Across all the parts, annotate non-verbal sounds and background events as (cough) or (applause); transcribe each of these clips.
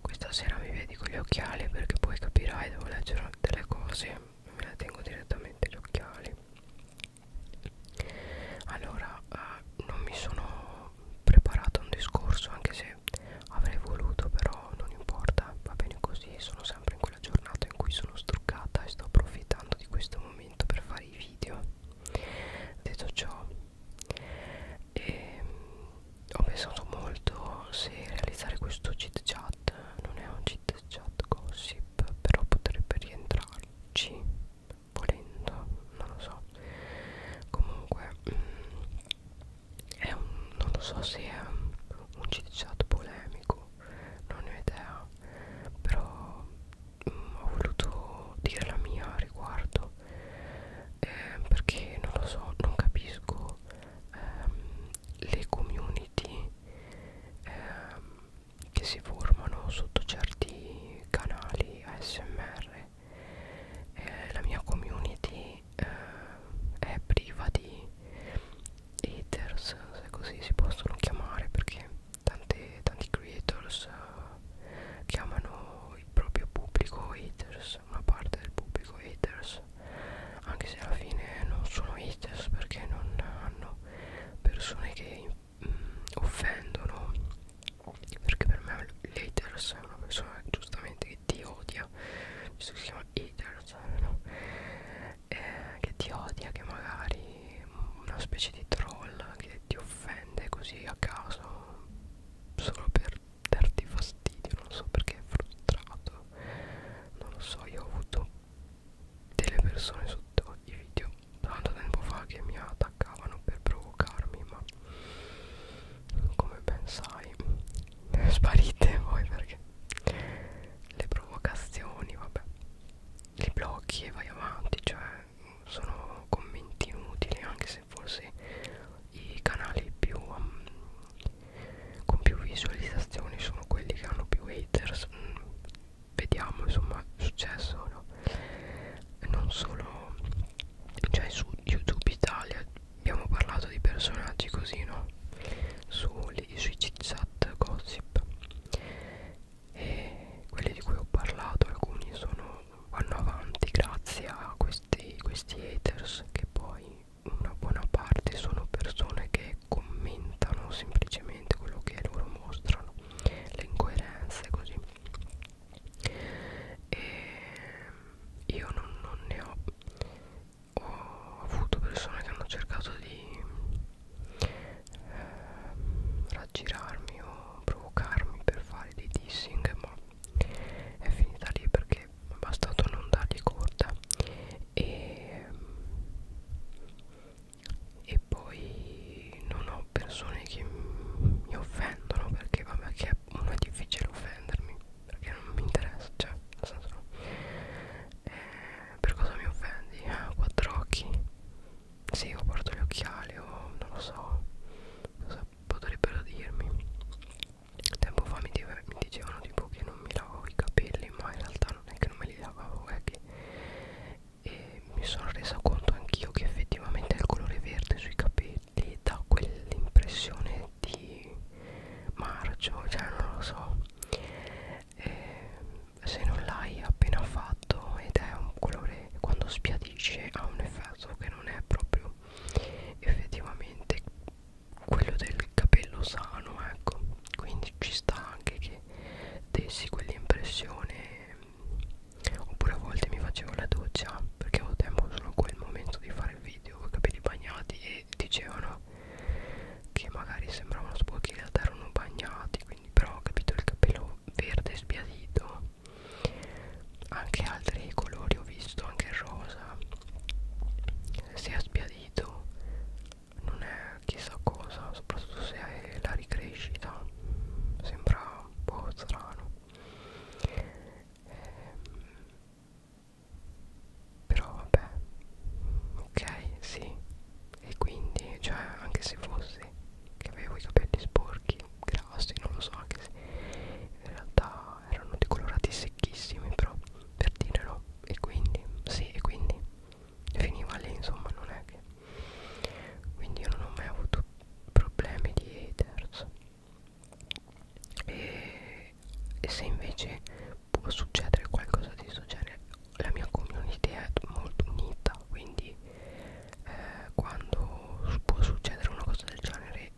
questa sera mi vedi con gli occhiali perché poi capirai devo leggere delle cose Me la tengo direttamente gli occhiali Allora eh, non mi sono preparato un discorso anche se avrei voluto però non importa Va bene così sono sempre in quella giornata in cui sono struccata e sto approfittando di questo momento per fare i video Detto ciò e ehm, ho pensato molto se realizzare questo cheat chat non è un cheat chat gossip però potrebbe rientrarci volendo non lo so comunque mm, è un, non lo so se è un cheat chat polemico non ne ho idea però mh, mm, ho voluto dire la mia a riguardo eh, perché non lo so non capisco ehm, le community ehm, che si formano sotto certi canali ASMR eh, la mia community eh, è priva di haters se così si possono chiamare perché tante, tanti creators eh, chiamano il proprio pubblico haters una parte del pubblico haters anche se alla fine non sono haters perché non hanno persone che mh, mm, offendono perché per me l'haters è una persona giustamente che ti odia visto che si chiama haters no? eh, che ti odia che magari una specie di troll che ti offende così a caso solo per darti fastidio non so perché è frustrato non lo so io ho avuto delle persone sotto i video tanto tempo fa che mi attaccavano per provocarmi ma come ben sai (laughs) sparite voi perché le provocazioni vabbè li blocchi e vai avanti cioè sono commenti inutili anche se forse i canali più um, con più visualizzazioni sono quelli che hanno più haters mm, vediamo insomma è successo o no non solo cioè su youtube italia abbiamo parlato di personaggi così no su, lì, sui chat gossip e quelli di cui ho parlato alcuni sono vanno avanti grazie a questi, questi haters che poi una buona parte sono persone che commentano semplicemente quello che loro mostrano le incoerenze così e io non, non ne ho ho avuto persone che hanno cercato di eh, raggirarmi o provocarmi per fare dei dissing ma è finita lì perché è bastato non dargli corda e, e poi non ho persone che mi offendono perché vabbè che non è difficile offendermi perché non mi interessa cioè nel senso eh, per cosa mi offendi? Ah, quattro occhi sì io porto gli occhiali o non lo so cosa potrebbero dirmi tempo fa mi, dive, mi dicevano tipo che non mi lavavo i capelli ma in realtà non è che non me li lavavo è che e mi sono resa conto anch'io che effettivamente il colore verde sui capelli dà quell'impressione di marcio cioè non lo so e se non l'hai appena fatto ed è un colore quando spiadisce ha un effetto che non è proprio effettivamente quello del capello sano ecco quindi ci sta anche che dessi quell'impressione oppure a volte mi facevo la doccia perché avevo tempo solo quel momento di fare il video con i capelli bagnati e dicevano che magari sembravano sporchi in realtà erano bagnati quindi però ho capito il capello verde sbiadito anche altri colori ho visto anche il rosa se è spiadito non è chissà cosa soprattutto se è la ricrescita sembra un po' strano ehm, però vabbè ok sì e quindi cioè anche se fosse che avevo i capelli sporchi grassi non lo so anche se in realtà ma erano decolorati secchissimi però per dire no e quindi sì e quindi finiva lì insomma non è che quindi io non ho mai avuto problemi di haters e, e se invece può succedere qualcosa di questo genere la mia community è molto unita quindi eh, quando può succedere una cosa del genere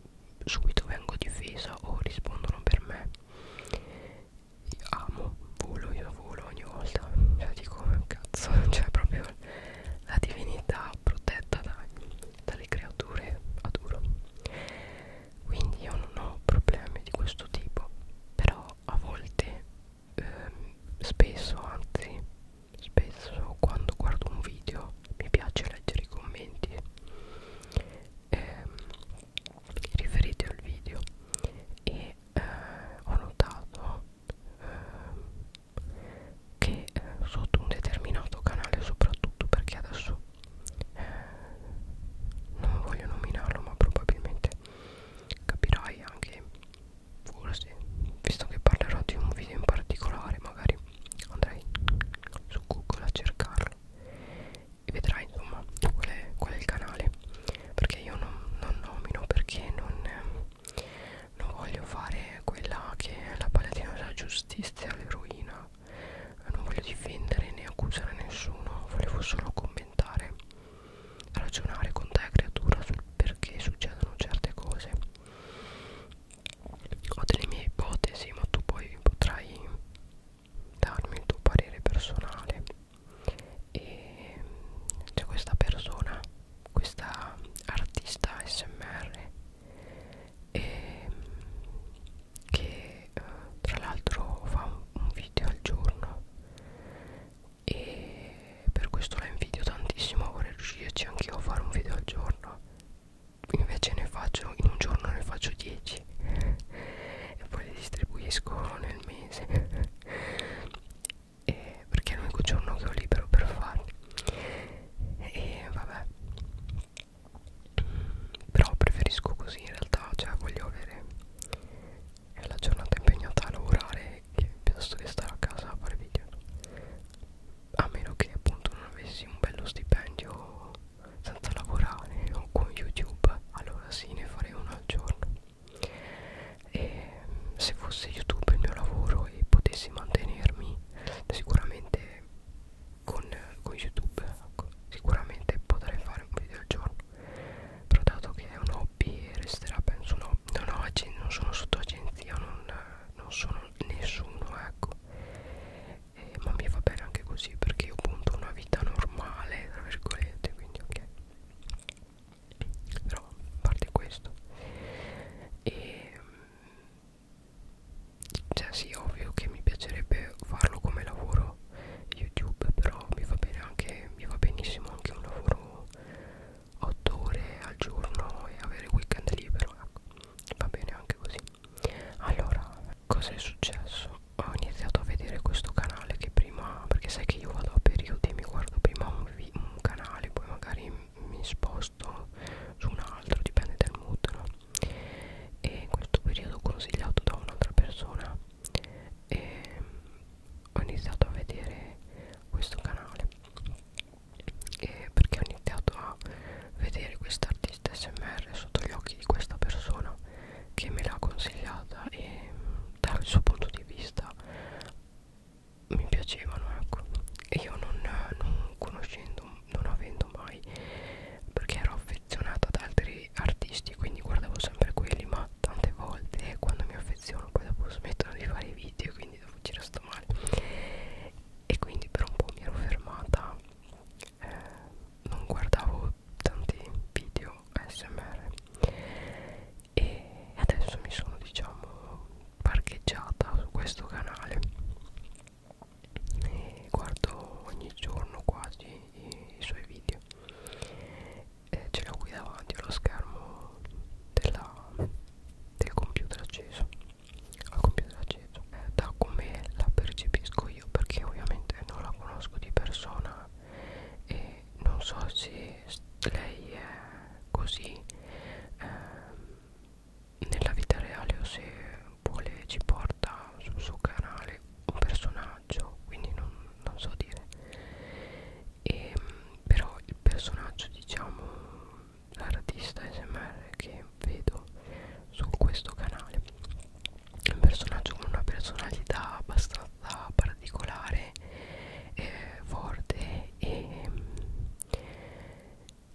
subito vengo difesa o rispondono per me io amo volo io volo ogni volta cioè dico cazzo (laughs) cioè proprio la divinità protetta da, dalle creature adoro quindi io non ho problemi di questo tipo però a volte ehm, spesso anzi spesso quando guardo un video mi piace leggere i commenti ehm, riferiti al video e eh, ho notato ehm, che eh, sotto un determinato canale soprattutto perché adesso eh, non voglio nominarlo ma probabilmente capirai anche forse visto che parlerò di un video in particolare magari andrei su google a cercarlo vedrai insomma qual è, qual è il canale perché io non, non nomino perché non, non voglio fare quella che è la paladina della giustizia all'eroina non voglio difendere né accusare nessuno volevo solo commentare ragionare con te creatura sul perché succedono certe cose ho delle mie ipotesi ma tu poi potrai darmi il tuo parere personale e c'è questa persona questa artista smr e, che eh, tra l'altro fa un, un video al giorno e per questo la invidio tantissimo vorrei riuscirci anch'io a fare un video al giorno invece ne faccio in un giorno ne faccio 10 e poi le distribuisco nel mese e perché è l'unico giorno che ho libero per farli e vabbè però preferisco così in realtà cioè voglio avere la giornata impegnata a lavorare che piuttosto che stare a casa a fare video a meno che appunto non avessi un bello stipendio senza lavorare o con youtube allora sì ne farei uno al giorno e se fosse youtube il mio lavoro e potessi mantenermi sicuramente con, con youtube ecco, sicuramente potrei fare un video al giorno però dato che è un hobby e resterà penso no non, ho, non sono sotto agenzia non, non sono nessuno ecco eh, ma mi va bene anche così perché io punto una vita normale tra virgolette quindi ok però a parte questo e ehm, cioè sì ovvio che mi piacerebbe farlo come lavoro youtube però mi va bene anche mi va benissimo anche un lavoro 8 ore al giorno e avere weekend libero ecco va bene anche così allora cosa è successo ho iniziato a vedere questo canale che prima perché sai che io vado a periodi mi guardo prima un, un canale poi magari mi sposto su un altro dipende dal mood no? e in questo periodo consigliato da un'altra persona e ho iniziato a vedere questo canale e perché ho iniziato a vedere quest'artista smr sotto gli occhi di questa persona che me l'ha consigliata e mm, dal suo punto di vista mi piacevano ecco io non, non conoscendo non avendo mai perché ero affezionata ad altri artisti quindi guardavo sempre quelli ma tante volte eh, quando mi affeziono poi dopo smettono di fare i video quindi dopo ci resto male e quindi per un po' mi ero fermata eh, non guardavo tanti video smr e adesso mi sono diciamo parcheggiata su questo canale e guardo ogni giorno quasi i, i suoi video e ce l'ho qui davanti allo schermo della, del computer acceso al computer acceso eh, da come la percepisco io perché ovviamente non la conosco di persona e non so se lei è così eh, nella vita reale o se vuole ci porta sul suo canale un personaggio quindi non, non so dire e, ehm, però il personaggio diciamo l'artista smr che vedo su questo canale un personaggio con una personalità abbastanza particolare eh, forte e,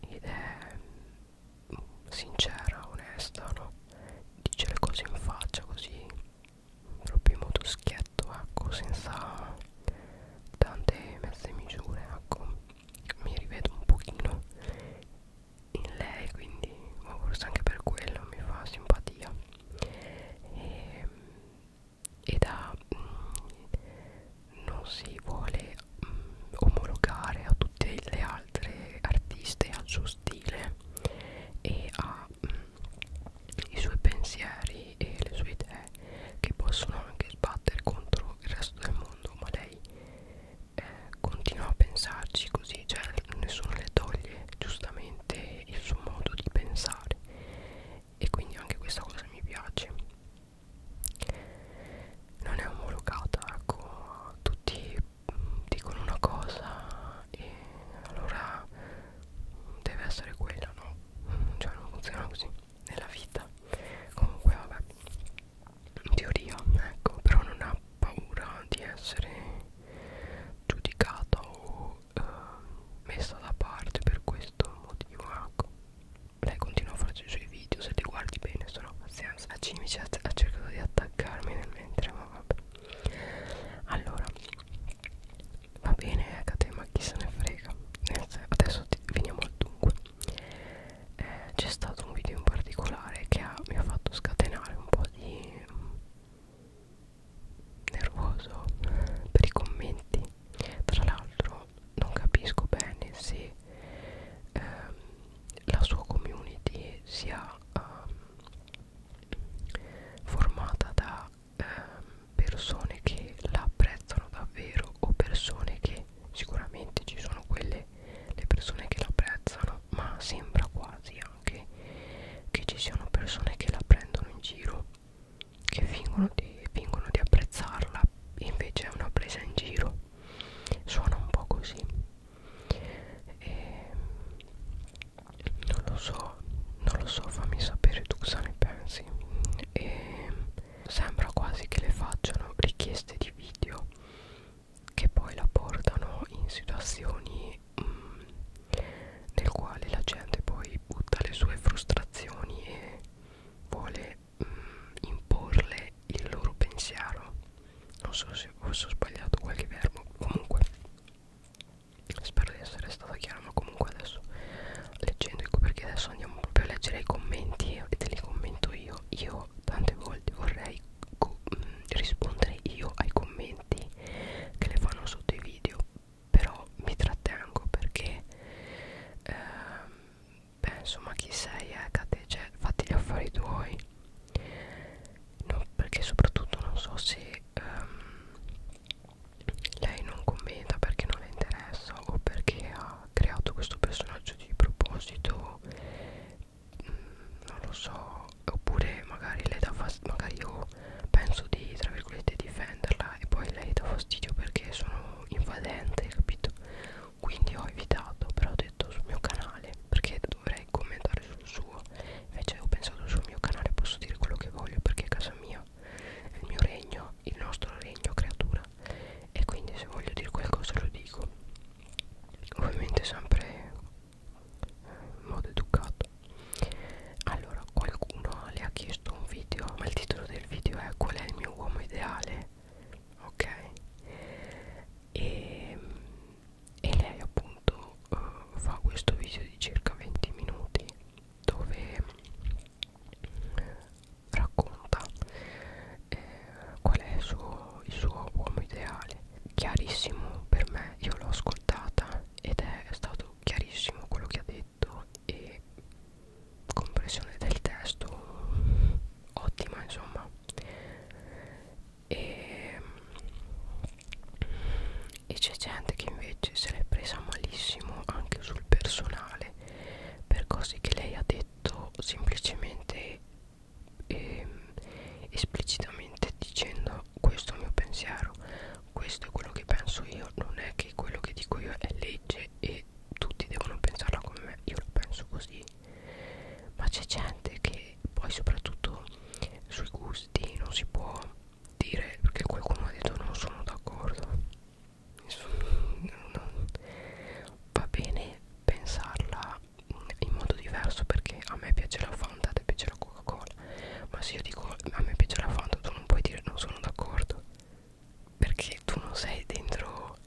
ed è sincera, onesta no? dice le cose in faccia così proprio in modo schietto ecco senza tante mezze misure ecco mi rivedo un pochino in lei quindi ma forse anche per quello mi fa simpatia e, e da mh, mm, non si vuole mh, mm, omologare a tutte le altre artiste al suo stile e ha mm, i suoi pensieri e le sue idee che possono anche sbattere contro il resto del mondo ma lei eh, continua a pensarci così, cioè nessuno le toglie giustamente il suo modo di pensare e quindi anche questa cosa mi piace. Non è omologata, ecco, tutti mm, dicono una cosa e allora mm, deve essere quella, no? Mm, cioè non funziona così nella vita. Comunque vabbè in teoria ecco però non ha paura di essere giudicata o eh, messa da parte per questo motivo ecco lei continua a farci i suoi video se li guardi bene sono pazienza la cimice ha cercato di attaccarmi nel mentre ma vabbè allora va bene Ecate ma chi se ne frega adesso ti, veniamo al dunque eh, c'è stato un video in particolare che ha, mi ha fatto scatenare un po' di mm, nervoso per i commenti tra l'altro non capisco bene se ehm, la sua community sia ehm, formata da ehm, persone che la apprezzano davvero o persone che sicuramente ci sono quelle le persone che l'apprezzano ma sembra quasi anche che ci siano persone che la prendono in giro che fingono di, fingono di apprezzarla invece è una presa in giro suona un po' così e non lo so non lo so fammi sapere tu cosa ne pensi e sembra quasi che le facciano richieste di video che poi la portano in situazioni mm, nel quale la gente poi butta le sue frustrazioni e vuole mm, imporle il loro pensiero non so se ho sbagliato qualche verbo comunque spero di essere stata chiara ma comunque adesso leggendo ecco perché adesso andiamo proprio a leggere i commenti e te li commento io io detto tante volte vorrei mm, rispondere io ai commenti che le fanno sotto i video però mi trattengo perché eh, beh, insomma chi sei Ecate eh, cioè fatti gli affari tuoi no, perché soprattutto non so se ehm, lei non commenta perché non le interessa o perché ha creato questo personaggio di proposito non lo so oppure magari lei dà fastidio magari io penso di tra virgolette difenderla e poi lei dà fastidio perché sono invadente capito quindi ho evitato però ho detto sul mio canale perché dovrei commentare sul suo invece ho pensato sul mio canale posso dire quello che voglio perché è casa mia è il mio regno il nostro regno creatura e quindi se voglio dire qualcosa lo dico ovviamente sempre in modo educato allora qualcuno le ha chiesto un video ma il titolo del video è qual è il mio uomo ideale ok e, e lei appunto uh, fa questo video di circa 20 minuti dove racconta eh, qual è il suo, il suo uomo ideale chiarissimo per me io l'ho ascoltata ed è stato chiarissimo quello che ha detto e comprensione del testo ottima insomma e, ehm, e c'è gente che invece se l'è presa malissimo anche sul personale per cose che lei ha detto semplicemente eh, esplicitamente dicendo questo è il mio pensiero, questo è quello che penso io, non è che quello che dico io è legge e tutti devono pensarla come me, io la penso così, ma c'è gente che poi soprattutto sui gusti non si può dire perché qualcuno ha detto non sono d'accordo, (laughs) va bene pensarla in modo diverso perché a me piace la Fanta, a te piace la Coca-Cola. Ma se io dico a me piace la Fanta, tu non puoi dire non sono d'accordo. Perché tu non sei dentro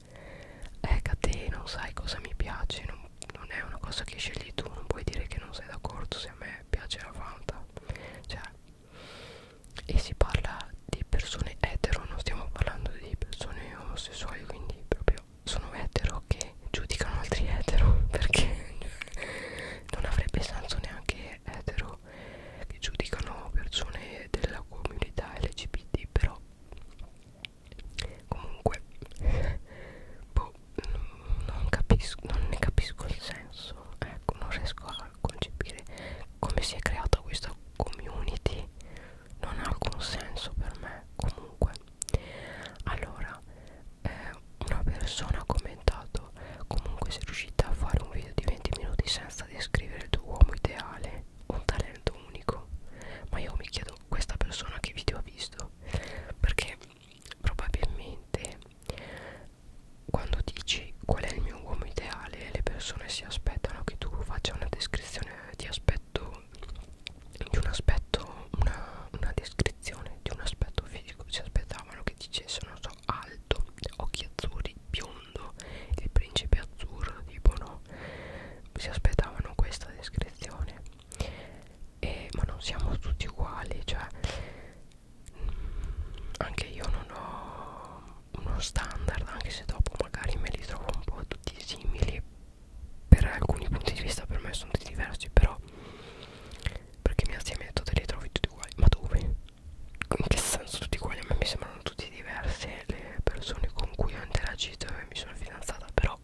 ecco a te, non sai cosa mi piace, non, non è una cosa che scegli tu, non puoi dire che non sei d'accordo se a me piace la Fanta. Cioè, e si parla di persone etero, non stiamo parlando di persone omosessuali, quindi proprio etero sono etero che giudicano altri etero (laughs) perché non avrebbe senso neanche etero che giudicano persone della comunità LGBT però comunque boh, non capisco non ne capisco il senso ecco non riesco a concepire come si è creata questa community non ha alcun senso per me comunque allora eh, una persona ha commentato comunque sei riuscita a fare un video di 20 minuti senza descrivere il tuo uomo ideale un talento unico ma io mi chiedo questa persona che video ha visto perché probabilmente quando dici qual è il mio uomo ideale le persone si aspettano che tu faccia una descrizione di aspetto più di un aspetto, una, una descrizione di un aspetto fisico. Si aspettavano che dicesse, non so, alto, occhi azzurri, biondo, il principe azzurro, tipo no. Si aspettavano questa descrizione. E, ma non siamo tutti uguali, cioè anche io non ho uno standard, anche se dopo magari me li trovo un po' tutti simili per alcuni punti di vista per me sono tutti diversi però perché mia zia mi ha detto te li trovi tutti uguali ma dove? in che senso tutti uguali? a me mi sembrano tutti diversi eh, le persone con cui ho interagito e mi sono fidanzata però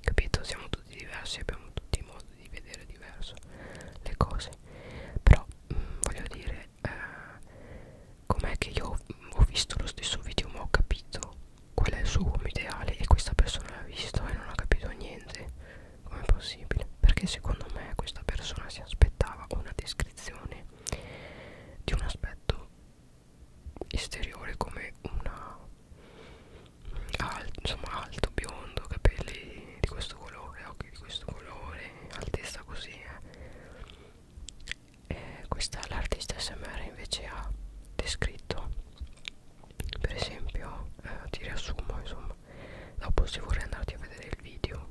capito siamo tutti diversi abbiamo tutti modo di vedere diverso le cose però mh, mm, voglio dire eh, com'è che io ho visto lo stesso video ma ho capito qual è il suo uomo ideale e questa persona l'ha visto e non ha capito niente com'è possibile perché secondo me questa persona si aspettava una descrizione di un aspetto esteriore come una alto, insomma alto biondo capelli di questo colore occhi di questo colore altezza così eh eh, questa l'artista SMR invece ha descritto per esempio eh, ti riassumo insomma dopo se vorrei andarti a vedere il video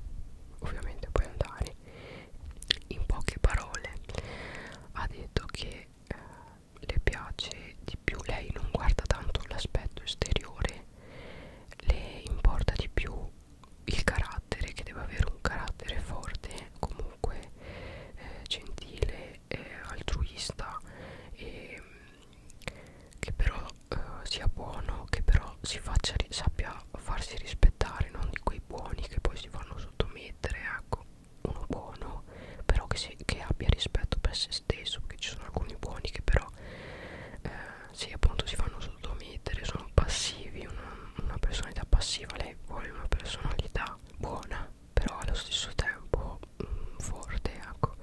ovviamente puoi andare in poche parole ha detto che eh, le piace di più lei non guarda tanto l'aspetto esteriore le importa di più il carattere che deve avere un carattere forte comunque comunque eh, gentile eh, altruista e che però eh, sia buono che però si faccia sappia farsi rispettare non di quei buoni che poi si fanno sottomettere ecco uno buono però che, si, che abbia rispetto per se stesso perché ci sono alcuni buoni che però eh, sì appunto si fanno sottomettere sono passivi una, una personalità passiva lei vuole una personalità buona però allo stesso tempo mh, mm, forte ecco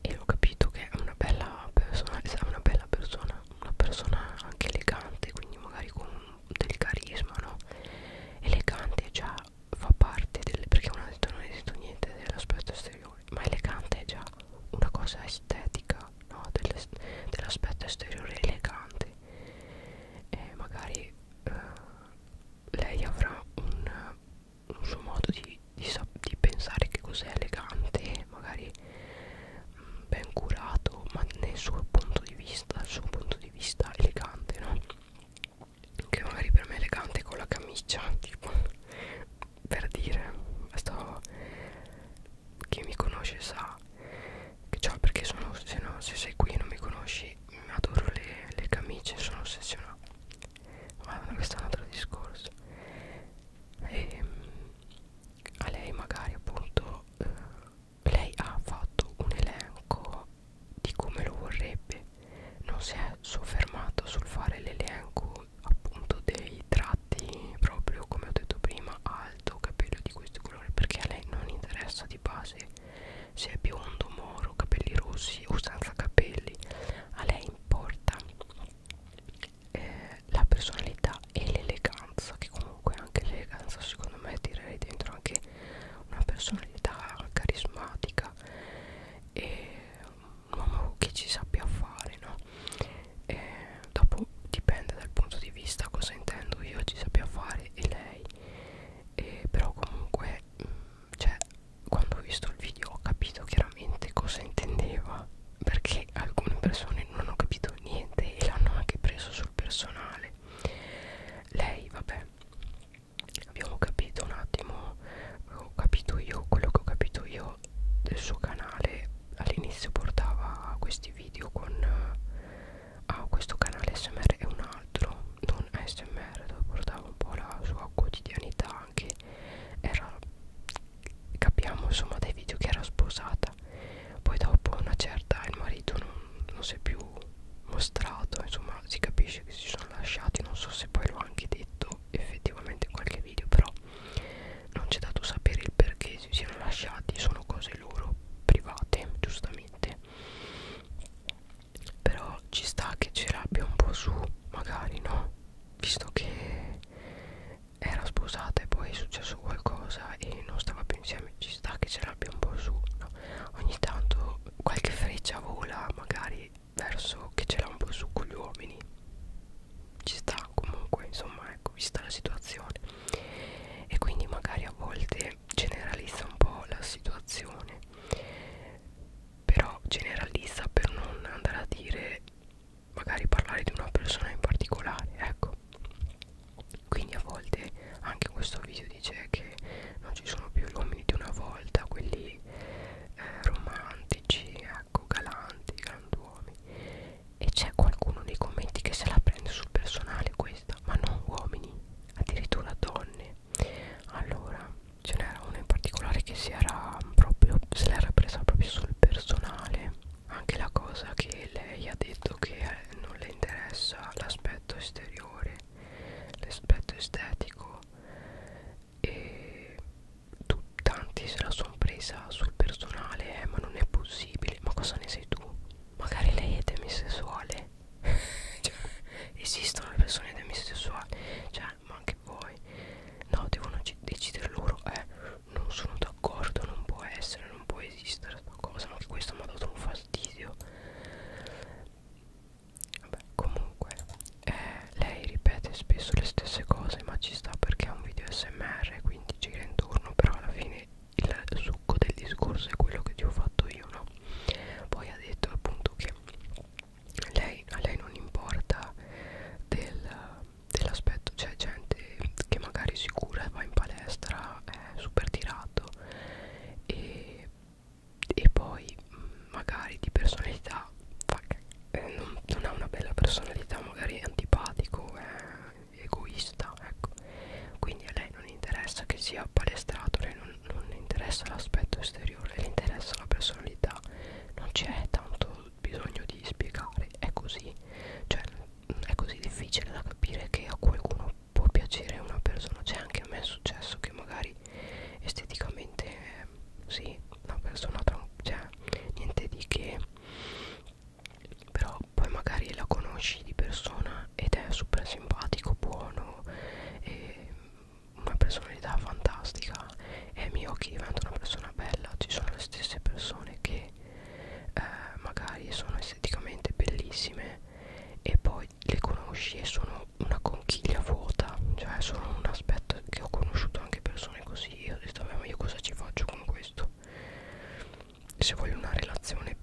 e ho capito che è una bella persona è una bella persona una persona anche elegante quindi magari con del carisma no elegante già fa parte del perché uno ha detto non è detto niente dell'aspetto esteriore ma elegante è già una cosa estetica no? dell'aspetto esteriore elegante e magari eh, lei avrà un, un suo modo di, di, di pensare che cos'è elegante, magari mh, mm, ben curato, ma nel suo punto di vista, il suo punto di vista elegante, no? Che magari per me è elegante con la camicia, tipo, per dire, sto, chi mi conosce sa Ciao perché sono se, no, se sei qui e non mi conosci adoro le, le camicie sono ossessionato ma questo è un altro discorso e, ehm, a lei magari appunto eh, lei ha fatto un elenco di come lo vorrebbe non si è soffermato sul fare l'elenco appunto dei tratti proprio come ho detto prima alto capello di questo colore perché a lei non interessa di base se è biondo, moro, capelli rossi o senza capelli a lei importa eh, la personalità e l'eleganza che comunque anche l'eleganza secondo me tirerei dentro anche una personalità carismatica e un uomo che ci sappia fare no? E eh, dopo dipende dal punto di vista cosa intendo io ci sappia fare e lei e però comunque mh, mm, cioè quando ho visto il video ho capito chiaramente cosa intendeva perché alcune persone non ho capito niente e l'hanno anche preso sul personale lei vabbè abbiamo capito un attimo ho capito io quello che ho capito io del suo canale all'inizio portava questi video con a ah, questo canale smr e un altro non smr dove portava un po' la sua quotidianità anche era capiamo insomma dai video che era sposata poi dopo una certa il marito non, non si è più mostrato insomma si capisce che si sono lasciati non so se poi l'ho anche detto effettivamente in qualche video però non c'è dato sapere il perché si siano lasciati sono cose loro private giustamente però ci sta che ce l'abbia un po' su magari no visto che era sposata e poi è successo qualcosa e non stava più insieme ci sta che ce l'abbia un po' su no? ogni tanto qualche freccia vola magari verso che ce l'ha un po' su con gli uomini ci sta comunque insomma ecco vista la situazione e quindi magari a volte che generalizza un po' la situazione però generalizza per non andare a dire magari parlare di una persona in particolare ecco quindi a volte anche questo video dice che non ci sono più gli uomini di una volta quelli eh, romantici ecco galanti granduomi e c'è qualcuno nei commenti che se la prende sul personale questa ma non uomini addirittura donne allora ce n'era una in particolare che si era proprio se l'era presa proprio sul personale anche la cosa che lei ha detto che eh, non le interessa l'aspetto esteriore l'aspetto estetico e tu, tanti se la sono presa sul personale eh, ma non è possibile ma cosa ne sei tu magari lei è demisessuale cioè, esistono le persone demisessuali cioè ma anche voi no devono decidere loro eh non sono d'accordo non può essere non può esistere sta cosa anche questo mi ha dato un fastidio vabbè comunque eh, lei ripete spesso le stesse cose ma ci sta perché è un video smr quindi gira intorno però alla fine il succo del discorso è quello che ti ho fatto io, no? Poi ha detto appunto che lei, a lei non importa del, dell'aspetto, c'è gente che magari si cura, va in palestra, è super tirato e, e poi mm, magari di personalità, fuck, eh, non, non ha una bella personalità, magari è antipatico, è egoista ecco quindi a lei non interessa che sia palestrato lei non, non interessa l'aspetto esteriore le interessa la personalità non c'è tanto bisogno di spiegare è così cioè è così difficile da capire che a qualcuno può piacere una persona cioè anche a me è successo che magari esteticamente eh, sì una persona cioè niente di che però poi magari la conosci di persona ed è super simpatico, buono e una personalità fantastica e ai miei occhi diventa una persona bella ci sono le stesse persone che eh, magari sono esteticamente bellissime e poi le conosci e sono una conchiglia vuota cioè sono un aspetto che ho conosciuto anche persone così e ho detto vabbè ma io cosa ci faccio con questo se voglio una relazione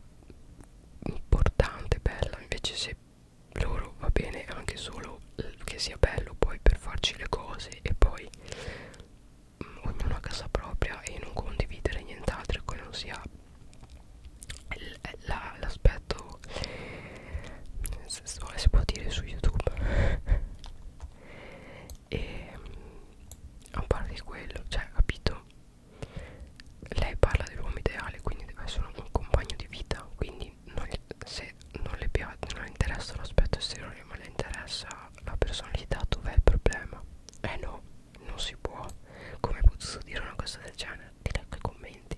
importante, bella, invece se loro va bene anche solo eh, che sia bello poi per farci le cose e poi mm, ognuno a casa propria e non condividere nient'altro che non sia eh, l'aspetto si può dire su youtube (laughs) e mm, a parte quello cioè capito lei parla dell'uomo ideale quindi deve essere un compagno di vita quindi non, se non le, piace, non le interessa l'aspetto esteriore ma le interessa la personalità dov'è il problema eh no non si può come hai potuto dire una cosa del genere ti leggo i commenti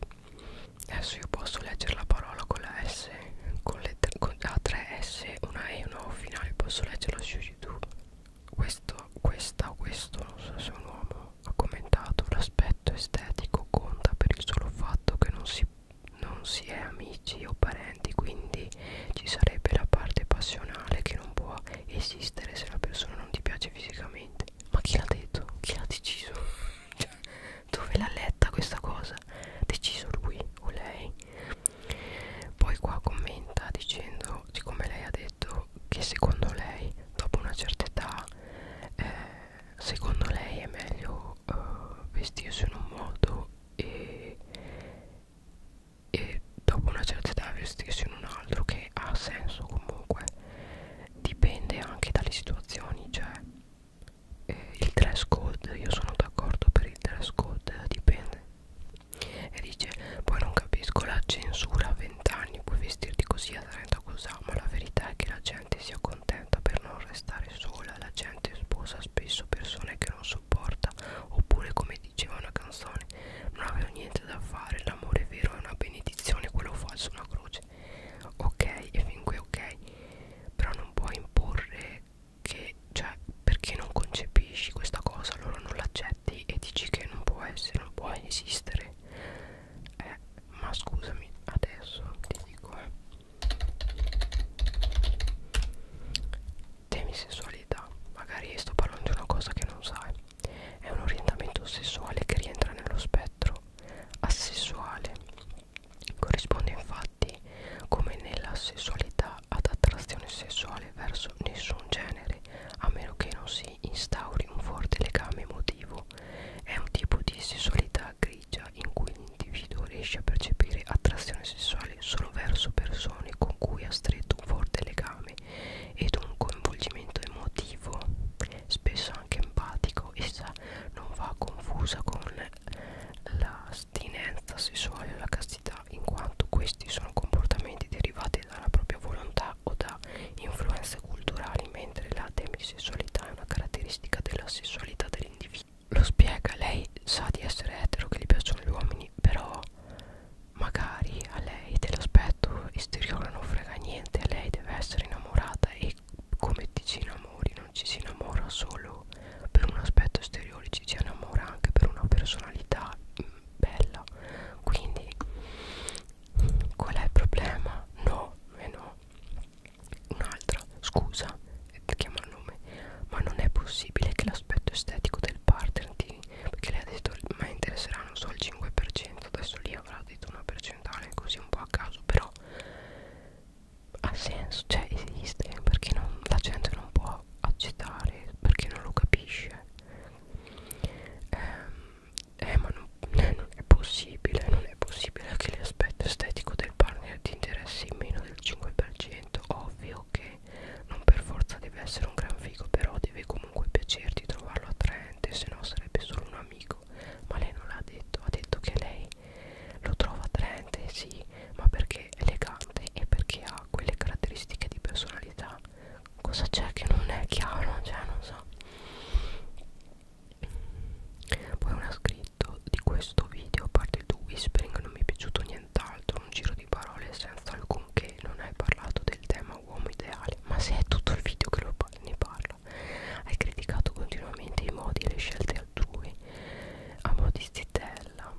adesso io posso leggere la parola con la S con, le, con la 3S una E una O finale posso leggerlo su youtube questo, questa o questo, non so se è un uomo, ha commentato l'aspetto estetico conta per il solo fatto che non si, non si è amici o parenti, quindi ci sarebbe la parte passionale che non può esistere se la persona non ti piace fisicamente. Ma chi l'ha detto? Chi l'ha deciso? (laughs) cioè, dove l'ha letta questa cosa? Deciso lui o lei? Poi qua commenta dicendo, siccome lei ha detto detto che secondo lei dopo una certa età eh, secondo lei è meglio eh, vestirsi in un modo e, e dopo una certa età vestirsi in un altro che ha senso comunque dipende anche dalle situazioni cioè eh, il dress code io sono d'accordo per il dress code dipende e dice poi non capisco la censura a 20 anni puoi vestirti così a 30 così ma la verità è che la gente sia contenta per non restare sola la gente sposa spesso persone che non sopporta oppure come diceva una canzone non avevo niente da fare l'amore vero è una benedizione quello falso è una croce ok e fin qui ok però non puoi imporre che cioè perché non concepisci questa cosa loro non l'accettano aspetti e dici che non può essere, non può esistere eh, ma scusami adesso ti dico eh. temi sessualità magari sto parlando di una cosa che non sai è un orientamento sessuale che rientra nello spettro asessuale corrisponde infatti come nella sessualità ad attrazione sessuale verso nessun genere a meno che non si instauri un forte legame emotivo. È un tipo di sessualità grigia in cui l'individuo riesce a percepire attrazione sessuale solo verso persone con cui ha stretto un forte legame ed un coinvolgimento emotivo, spesso anche empatico. Essa non va confusa con l'astinenza sessuale e la castità, in quanto questi sono sono comportamenti derivati dalla propria volontà o da influenze culturali, mentre la demisessualità è una caratteristica della sessualità dell'individuo. Lo spiega, lei sa di essere etero, che gli piacciono gli uomini, però magari a lei dell'aspetto esteriore non frega niente, a lei deve essere innamorata e come ti ci innamori non ci si innamora solo per un aspetto esteriore, ci si innamora anche per una personalità mm, bella quindi qual è il problema? no, e no un'altra, scusa chiama il nome ma non è possibile che l'aspetto estetico del partner ti, perché lei ha detto ma interesserà non so il 5% adesso lì avrà detto una percentuale così un po' a caso però ha senso, cioè esiste perché non, la gente non può accettare perché non lo capisce eh, eh ma non, eh, non è possibile non è possibile che l'aspetto estetico del partner ti interessi meno del 5% ovvio che non per forza deve essere un gran figo però deve comunque piacerti trovarlo attraente se no sarebbe solo un amico ma lei non l'ha detto ha detto che lei lo trova attraente sì ma perché è elegante e perché ha quelle caratteristiche di personalità cosa c'è che non è chiaro cioè non so poi uno ha scritto di questo video a parte il tuo whispering non mi è piaciuto nient'altro un giro di parole senza alcunché non hai parlato del tema uomo ideale ma se è tutto il video che lo par ne parla hai criticato continuamente i modi e le scelte altrui a modi zitella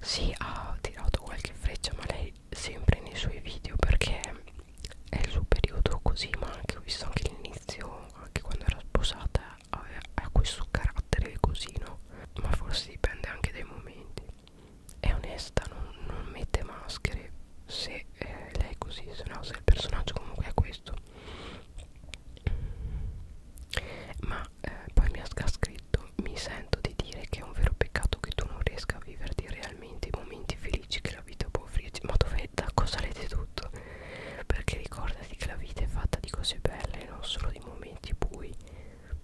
si ha tirato qualche freccia ma lei sempre nei suoi video perché è il suo periodo così ma anche ho visto anche l'inizio anche quando era sposata ha questo carattere così no ma forse dipende anche dai momenti è onesta non, non mette maschere se eh, lei è così se no se il personaggio comunque è questo ma eh, poi mi ha scritto detto mi sento di dire che è un vero peccato che tu non riesca a viverti realmente i momenti felici che la vita può offrirti ma dove da cosa l'hai tutto perché ricordati che la vita è fatta di cose belle non solo di momenti bui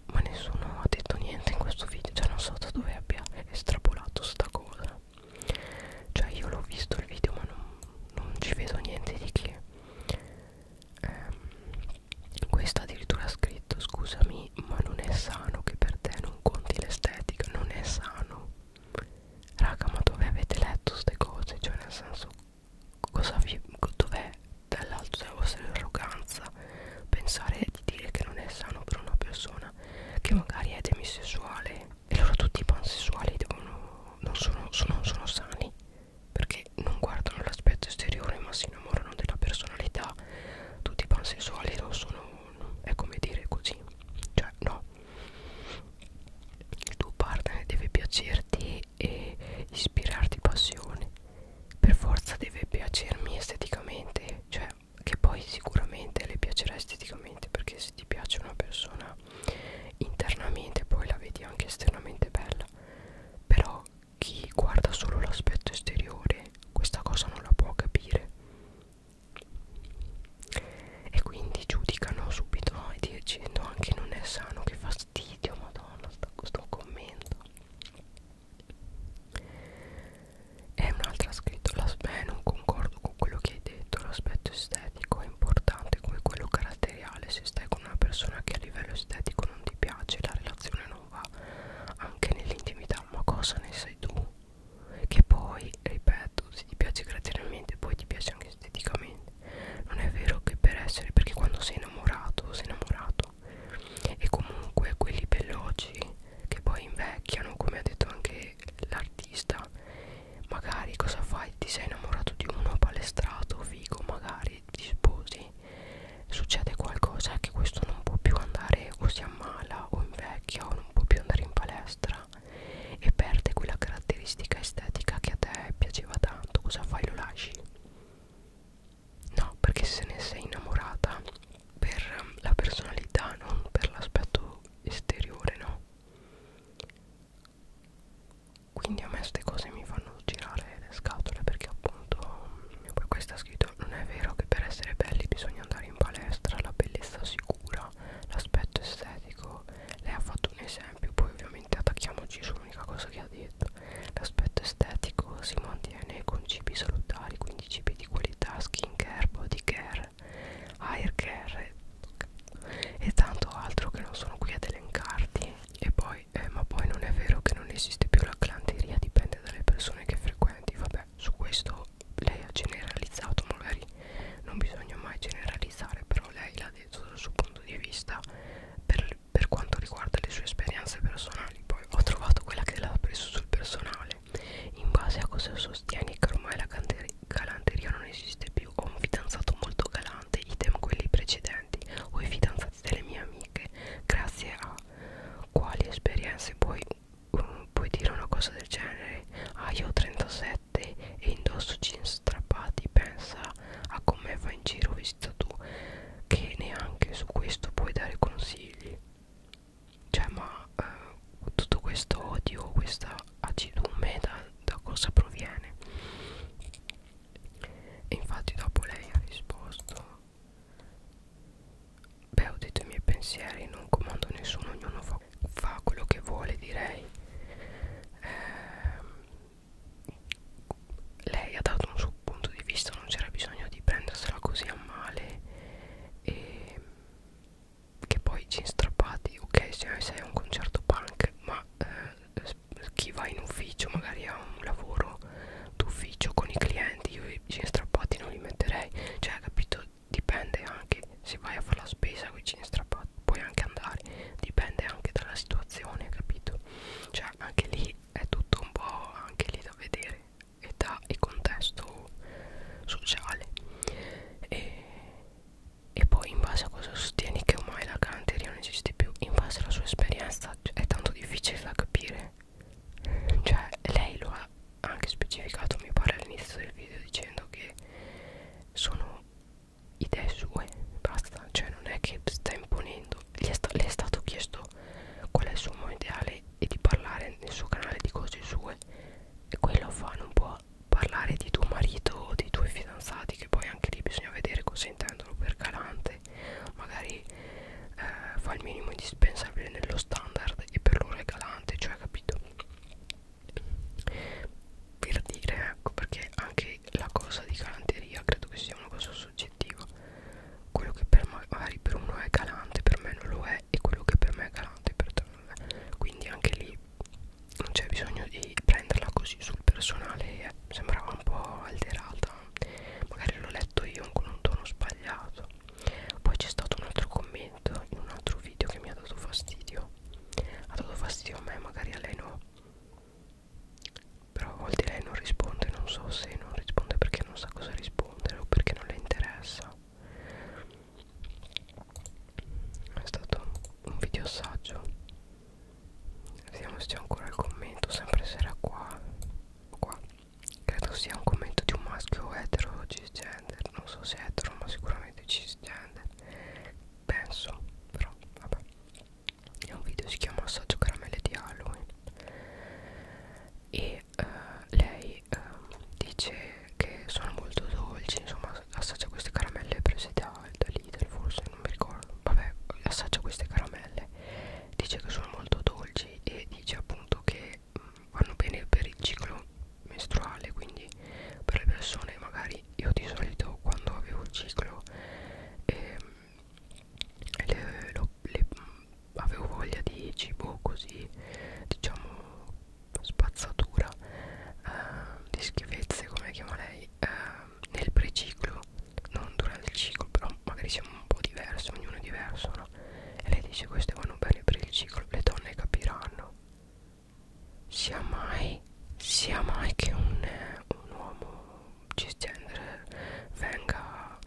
ma nessuno ha detto niente in questo video cioè non so da dove abbia estrapolato sta cosa cioè io l'ho visto il video ma non, non ci vedo niente di che ehm, questo addirittura ha scritto scusami ma non è sano che per te non conti l'estetica non è sano raga ma dove avete letto queste cose cioè nel senso cosa vi dov'è dall'alto della vostra arroganza pensare di dire che non è sano per una persona che magari è demisessuale e loro tutti i pansessuali devono, non sono, sono, sono sani perché non guardano l'aspetto esteriore ma si innamorano della personalità tutti i pansessuali non sono è come dire così cioè no il tuo partner deve piacerti e ispirarti passione per forza deve piacermi esteticamente cioè che poi sicuramente le piacerà esteticamente perché se ti piace una persona internamente poi la vedi anche esternamente bella però chi guarda solo l'aspetto esteriore questa cosa non la può capire e quindi giudicano subito noi dicendo anche non è sano che fastidio madonna sto, sto commento e un'altra ha scritto beh non concordo con quello che hai detto l'aspetto estetico è importante come quello caratteriale se stai con una persona che a livello estetico non ti piace la relazione non non va anche nell'intimità ma cosa ne sai tu che poi ripeto se ti piace graziosamente poi ti piace anche esteticamente non è vero che per essere perché quando sei innamorato sei innamorato e comunque quelli veloci che poi invecchiano come ha detto anche l'artista magari cosa fai ti sei innamorato di uno palestrato figo magari ti sposi succede qualcosa che questo non può più andare o si ammala o invecchia o non può più andare in palestra e perde quella caratteristica estetica che a te piaceva tanto, cosa fai? Lo lasci? No, perché se ne sei innamorata per la personalità, non per l'aspetto esteriore, no? Quindi a me queste cose mi fanno girare le scatole perché appunto poi questa ha scritto detto non è vero che per essere belli bisogna andare in palestra la bellezza sicura l'aspetto estetico lei ha fatto un esempio poi ovviamente attacchiamoci sull'unica cosa che ha detto l'aspetto estetico si mantiene con cibi salutari quindi cibi di qualità skin care body care hair care e tanto altro che non sono qui ad elencarti e poi eh, ma poi non è vero che non esiste più la clanteria dipende dalle persone che frequentano conseguenti vabbè su questo lei ha generalizzato magari non bisogna mai generalizzare però lei l'ha detto dal suo punto di vista per, per quanto riguarda le sue esperienze personali poi ho trovato quella che l'ha preso sul personale in base a cosa sostieni che ormai la galanteria non esiste più ho un fidanzato molto galante idem quelli precedenti o i fidanzati delle mie amiche grazie a quali esperienze puoi, um, puoi dire una cosa del genere ah io ho 37 e indosso jeans strappati pensa a come va in giro vista tu che neanche su questo puoi dare consigli cioè ma eh, tutto questo odio questa acidume da, da cosa proviene e infatti dopo lei ha risposto Beh, ho detto i miei pensieri, non comando nessuno, ognuno fa, fa quello che vuole, direi. Eh, lei ha dato un suo punto di vista, non c'era bisogno di prendersela così a male. E che poi ci strappati, ok, se sei a un concerto punk, ma eh, chi va in ufficio magari ha un lavoro lavoro d'ufficio con i clienti io i jeans strappati non li metterei cioè capito dipende anche se vai a fare la spesa con i jeans strappati puoi anche andare dipende anche dalla situazione capito cioè anche lì è tutto un po' anche lì da vedere età e contesto sociale e, e poi in base a cosa sostieni che ormai la galanteria non esiste più in base alla sua esperienza cioè, è tanto difficile da capire cioè lei lo ha anche specificato mi pare all'inizio del video dicendo che sono idee sue basta cioè non è che sta imponendo le è, sta è stato chiesto qual è il suo modo ideale e di parlare nel suo canale di cose sue e quello fa non può parlare di tuo marito o dei tuoi fidanzati che poi anche lì bisogna vedere cosa intendono per galante parte magari eh, fa il minimo indispensabile nello standard e per loro è galante cioè capito per dire ecco perché anche la cosa di galanteria credo che sia una cosa soggettiva quello che per magari per uno è galante per me non lo è e quello che per me è galante per te non lo è quindi anche lì non c'è bisogno di prenderla così sul personale eh, sembrava un po' alterata magari l'ho letto io con un tono sbagliato video poi c'è stato un altro commento in un altro video che mi ha dato fastidio ha dato fastidio a me magari a lei no però a volte lei non risponde non so se non risponde perché non sa cosa rispondere o perché non le interessa è stato un video assaggio vediamo se c'è ancora il commento sempre sarà qua qua credo sia un commento di un maschio etero cisgender non so se etero ma sicuramente cisgender penso però vabbè è un video si chiama assaggio caramelle di Halloween e uh, lei uh, dice che sono molto dolci insomma assaggia queste caramelle prese da, da Lidl forse non mi ricordo vabbè assaggia queste caramelle dice che sono molto dolci dolci e dice appunto che mh, mm, vanno bene per il ciclo menstruale quindi per le persone magari io di solito quando avevo il ciclo eh, le, lo, le, mm, avevo voglia di cibo così diciamo spazzatura eh, di schifezze come chiama lei eh, nel preciclo non durante il ciclo però magari siamo un po' diverse, ognuno è diverso, no? E lei dice queste vanno bene per il ciclo, le donne capiranno. Sia mai, sia mai che un, un uomo cisgender venga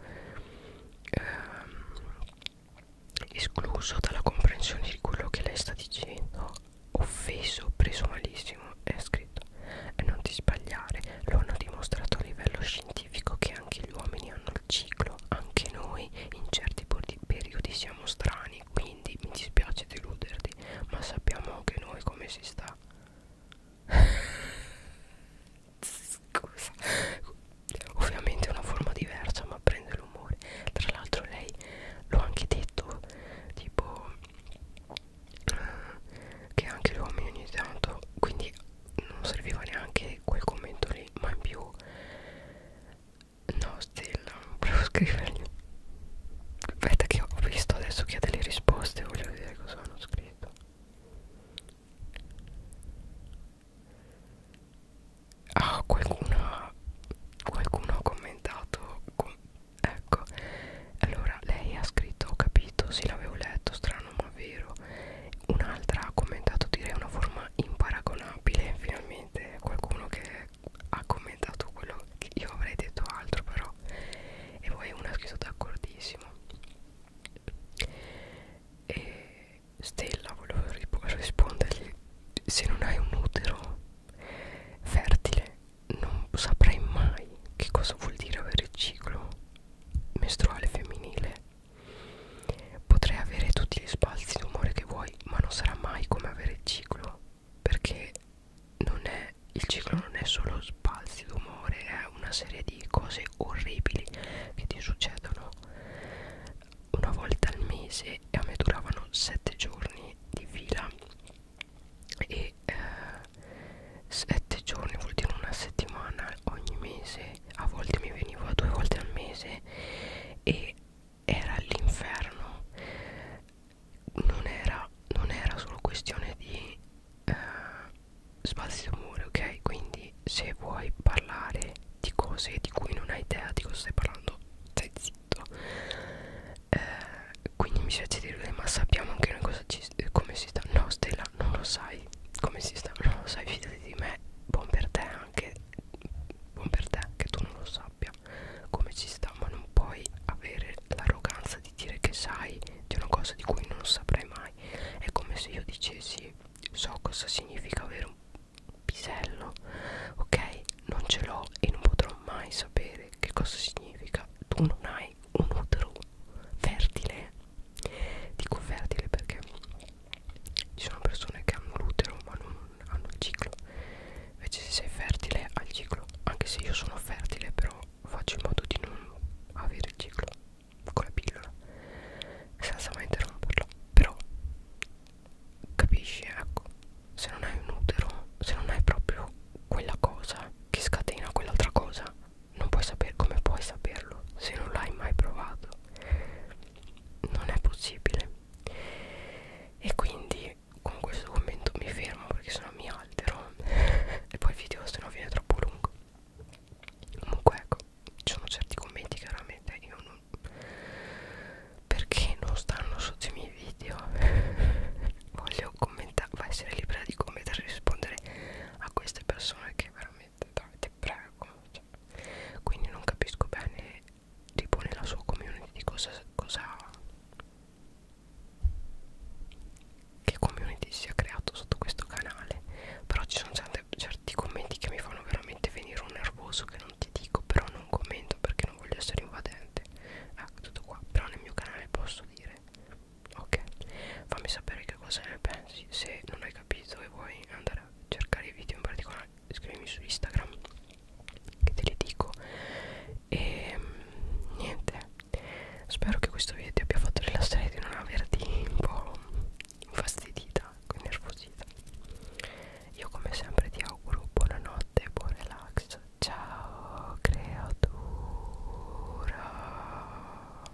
ehm, escluso dalla comprensione di quello che lei sta dicendo, offeso, preso malissimo, è scritto. E non ti sbagliare, lo hanno dimostrato a livello scientifico scientifico che anche gli uomini hanno il ciclo, anche noi in certi periodi siamo strani, quindi mi dispiace deluderti, ma sappiamo anche noi come si sta. Scusa, ovviamente è una forma diversa, ma prende l'umore. Tra l'altro, lei l'ho anche detto: tipo, eh, che anche gli uomini ogni tanto, quindi non serviva neanche quel commento lì ma in più no stella non provo a scrivergli aspetta che ho visto adesso che ha delle risposte voglio vedere cosa hanno scritto ah qualcuno qualcuno ha commentato ecco allora lei ha scritto ho capito sì l'avevo letto strano strano ma vero un'altra ha commentato direi una forma imparagonabile finalmente qualcuno che ha commentato quello che io avrei detto altro però e poi una ha scritto d'accordissimo e Stella volevo rispondergli se non hai un utero fertile non saprei mai che cosa vuol dire avere il ciclo menstruale femminile Potrai avere tutti gli sbalzi d'umore che vuoi, ma non sarà mai come avere il ciclo, perché non è, il ciclo non è solo sbalzi d'umore, è una serie di cose orribili che ti succedono una volta al mese e a me duravano sette giorni di fila e eh, 7 giorni vuol dire una settimana ogni mese a volte mi veniva due volte al mese e era l'inferno non era, non era solo questione di eh, spazi d'umore ok quindi se vuoi parlare di cose di cui non hai idea di cosa stai parlando stai zitto eh, quindi mi piace dirle ma sappiamo anche noi cosa ci, come si sta no Stella non lo sai sai come si sta, non lo sai, fidati di me, buon per te anche, buon per te che tu non lo sappia come ci sta, ma non puoi avere l'arroganza di dire che sai di una cosa di cui non saprai mai. È come se io dicessi so cosa significa avere un pisello, ok? Non ce l'ho e non potrò mai sapere che cosa significa. Tu non hai un utero fertile dico fertile perché ci sono persone che hanno l'utero ma non hanno il ciclo invece se sei fertile hai il ciclo anche se io sono fertile però faccio in modo di non avere il ciclo con la pillola senza mai interromperlo però capisci ecco se non hai un utero se non hai proprio quella cosa che scatena quell'altra cosa non puoi sapere come puoi saperlo se non l'hai mai provato non è possibile e quindi con questo commento mi fermo perché sennò mi altero (laughs) e poi il video se no viene troppo lungo comunque ecco ci sono certi commenti chiaramente io non perché non stanno sotto i miei video (laughs) voglio commentare essere libera di commentare e rispondere a queste persone che veramente veramente dai ti prego cioè. quindi non capisco bene tipo nella sua community cosa, cosa che community si è creato sotto questo canale però ci sono certe, certi commenti che mi fanno veramente venire un nervoso che non ti dico però non commento perché non voglio essere invadente ecco tutto qua però nel mio canale posso dire ok fammi sapere che cosa ne pensi se non hai capito e vuoi andare a cercare i video in particolare scrivimi su Instagram che te li dico e ehm, niente spero che questo video ti abbia fatto rilassare di non averti un po' infastidita nervosita io come sempre ti auguro buonanotte buon relax ciao creatura